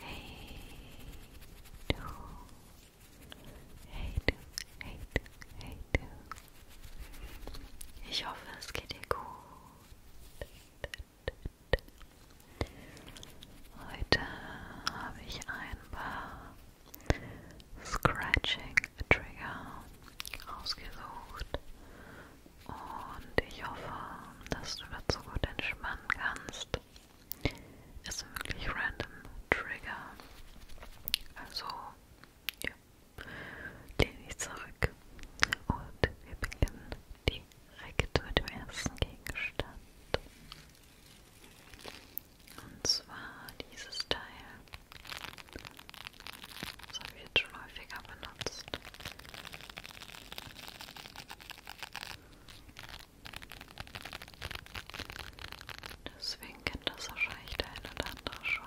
Hey du. Hey du, hey du, hey du. Ich hoffe, es geht dir gut. Heute habe ich ein paar Scratching Trigger ausgesucht und ich hoffe, dass du dazu gut entspannen kannst. Ist wirklich random Trigger. Also, ja, lehne ich zurück und wir beginnen direkt mit dem ersten Gegenstand. Und zwar dieses Teil. Das habe ich jetzt schon häufiger benutzt. Deswegen kennt das wahrscheinlich der eine oder andere schon.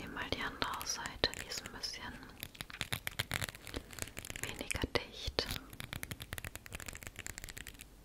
Nimm mal die andere Seite, die ist ein bisschen weniger dicht.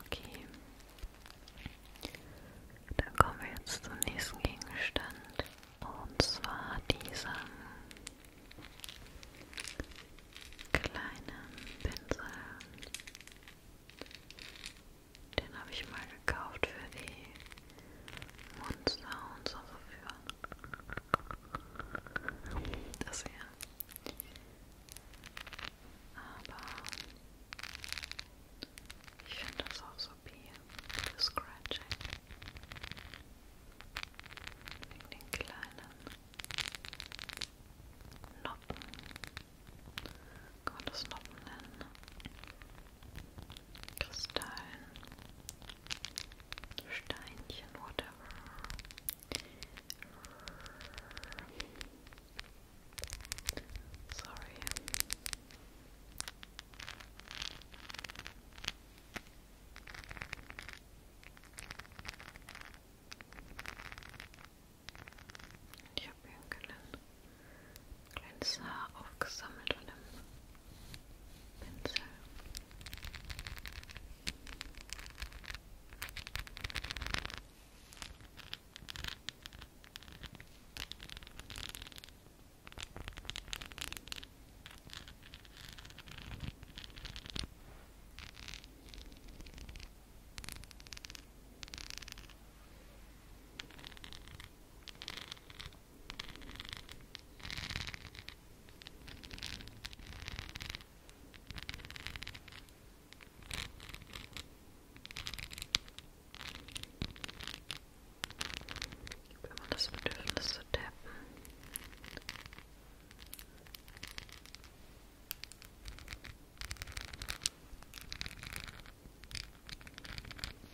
Okay. Dann kommen wir jetzt zum nächsten Gegenstand. Und zwar diesem kleinen Pinsel. Den habe ich mal gekauft für die Monster und so verführen. Das hier. Aber ich finde das auch so wie Scratching. Wegen den kleinen Noppen. Kann man das Noppen nennen? Kristallen, Steinchen, whatever. Sorry. Ich habe hier einen kleines Haar aufgesammelt an dem Pinsel. Wenn man das Bedürfnis zu tappen.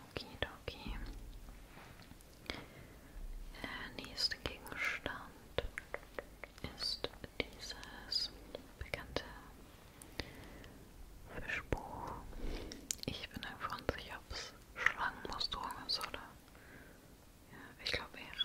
Okidoki. Der nächste Gegenstand ist dieses bekannte Fischbuch. Ich bin einfach unsicher, ob es Schlangenmusterung ist oder. Ja, ich glaube eher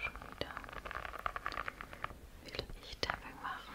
Schon wieder will ich Tapping machen.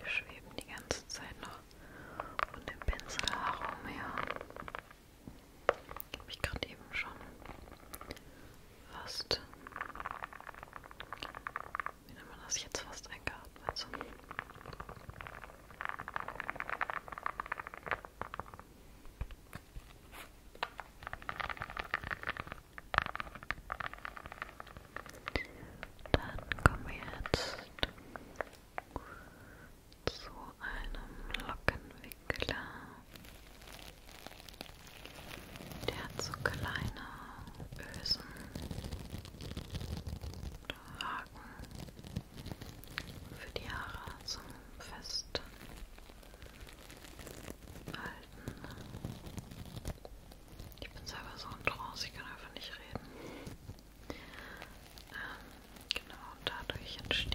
Die schweben die ganze Zeit noch und dem Pinsel herum, ja. Habe ich gerade eben schon fast. Wie nennt man das jetzt fast eingeatmet? So. Dann kommen wir jetzt zu einem Lockenweg. Wickler. Der hat so kleine Ösen oder Haken für die Haare zum Festhalten. Ich bin selber so in Trance, ich kann einfach nicht reden. Ähm, genau, dadurch entstehen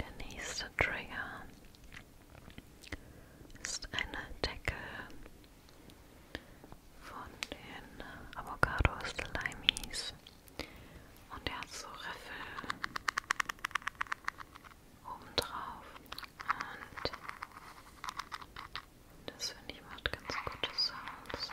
Der nächste Trigger ist eine Decke von den Avocado Slimies und er hat so Riffel oben drauf und das finde ich macht ganz gute Sounds.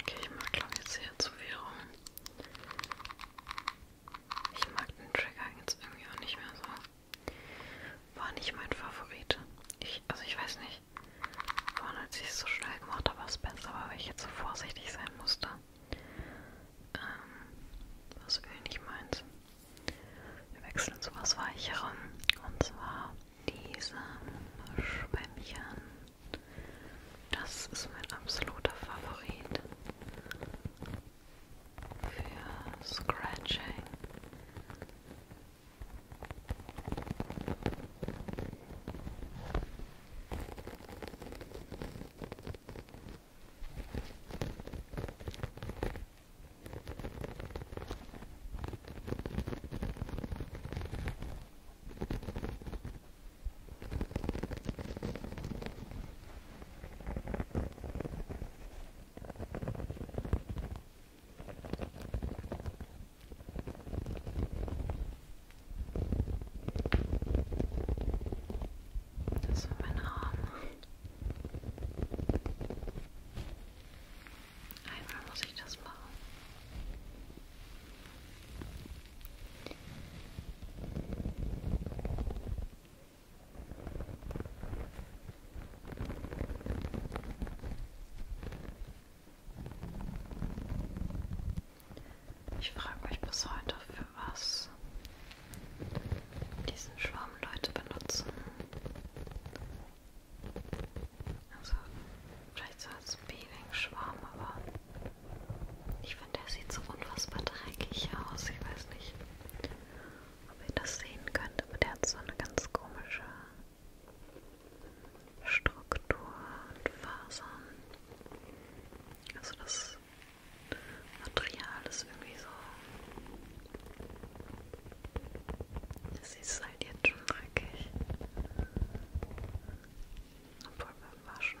Okay, ich mag glaube jetzt hier zu viel rum. Ich mag den Trigger jetzt irgendwie auch nicht mehr so. War nicht mein Favorit. Ich, also ich weiß nicht, vorhin als ich es so schnell gemacht habe, war es besser, aber weil ich jetzt so vorsichtig sein musste. Ähm, was irgendwie nicht meins. Wir wechseln zu was Weicherem. Und zwar diesem Schwämmchen. Das ist mein absoluter Favorit für Scratching. Das war mein Arm. Einmal muss ich das machen. Ich frage mich bis heute, für was diesen Schwamm Leute benutzen. Also, vielleicht so als Peeling-Schwamm, aber ich finde, er sieht so unfassbar dreckig aus. Ich weiß nicht, ob ihr das sehen könnt, aber der hat so eine ganz komische Struktur und Fasern. Also das Material ist irgendwie so. Es ist halt jetzt schon dreckig. Obwohl beim Waschen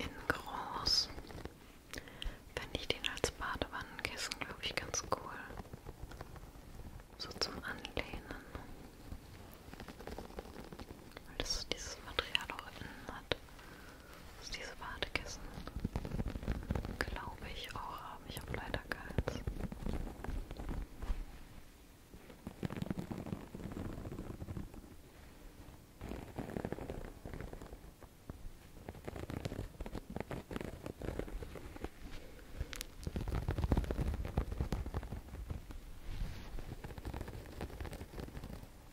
In groß fände ich den als Badewannenkissen, glaube ich, ganz cool. So zum Anlehnen. Weil das dieses Material auch innen hat. Das diese Wartekissen. Glaube ich auch haben. Ich habe leider keins.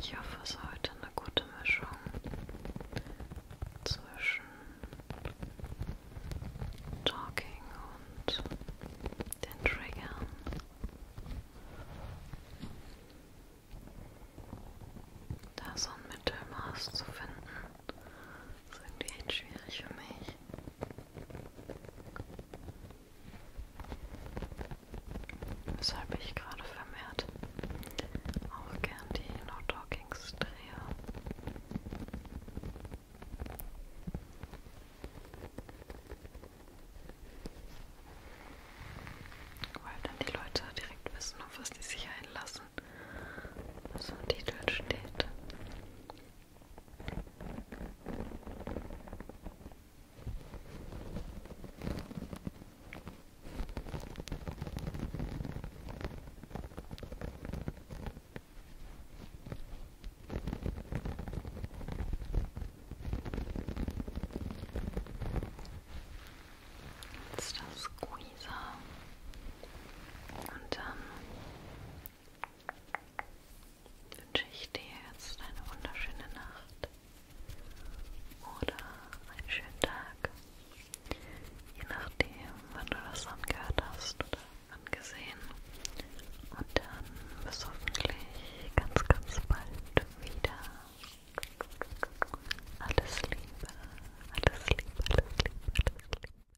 Ich hoffe, es ist heute eine gute Mischung zwischen Talking und den Triggern. Da so ein Mittelmaß zu finden. Das ist irgendwie echt schwierig für mich. Weshalb ich gerade vermehrt auch gern die No Talkings drehe. Weil dann die Leute direkt wissen, auf was die sich einlassen, was im Titel steht. Jetzt das Squeezer und dann wünsche ich dir jetzt eine wunderschöne Nacht oder einen schönen Tag. Je nachdem, wann du das angehört hast oder angesehen. Und dann bis hoffentlich ganz, ganz bald wieder. Alles Liebe, alles Liebe, alles Liebe, alles Liebe.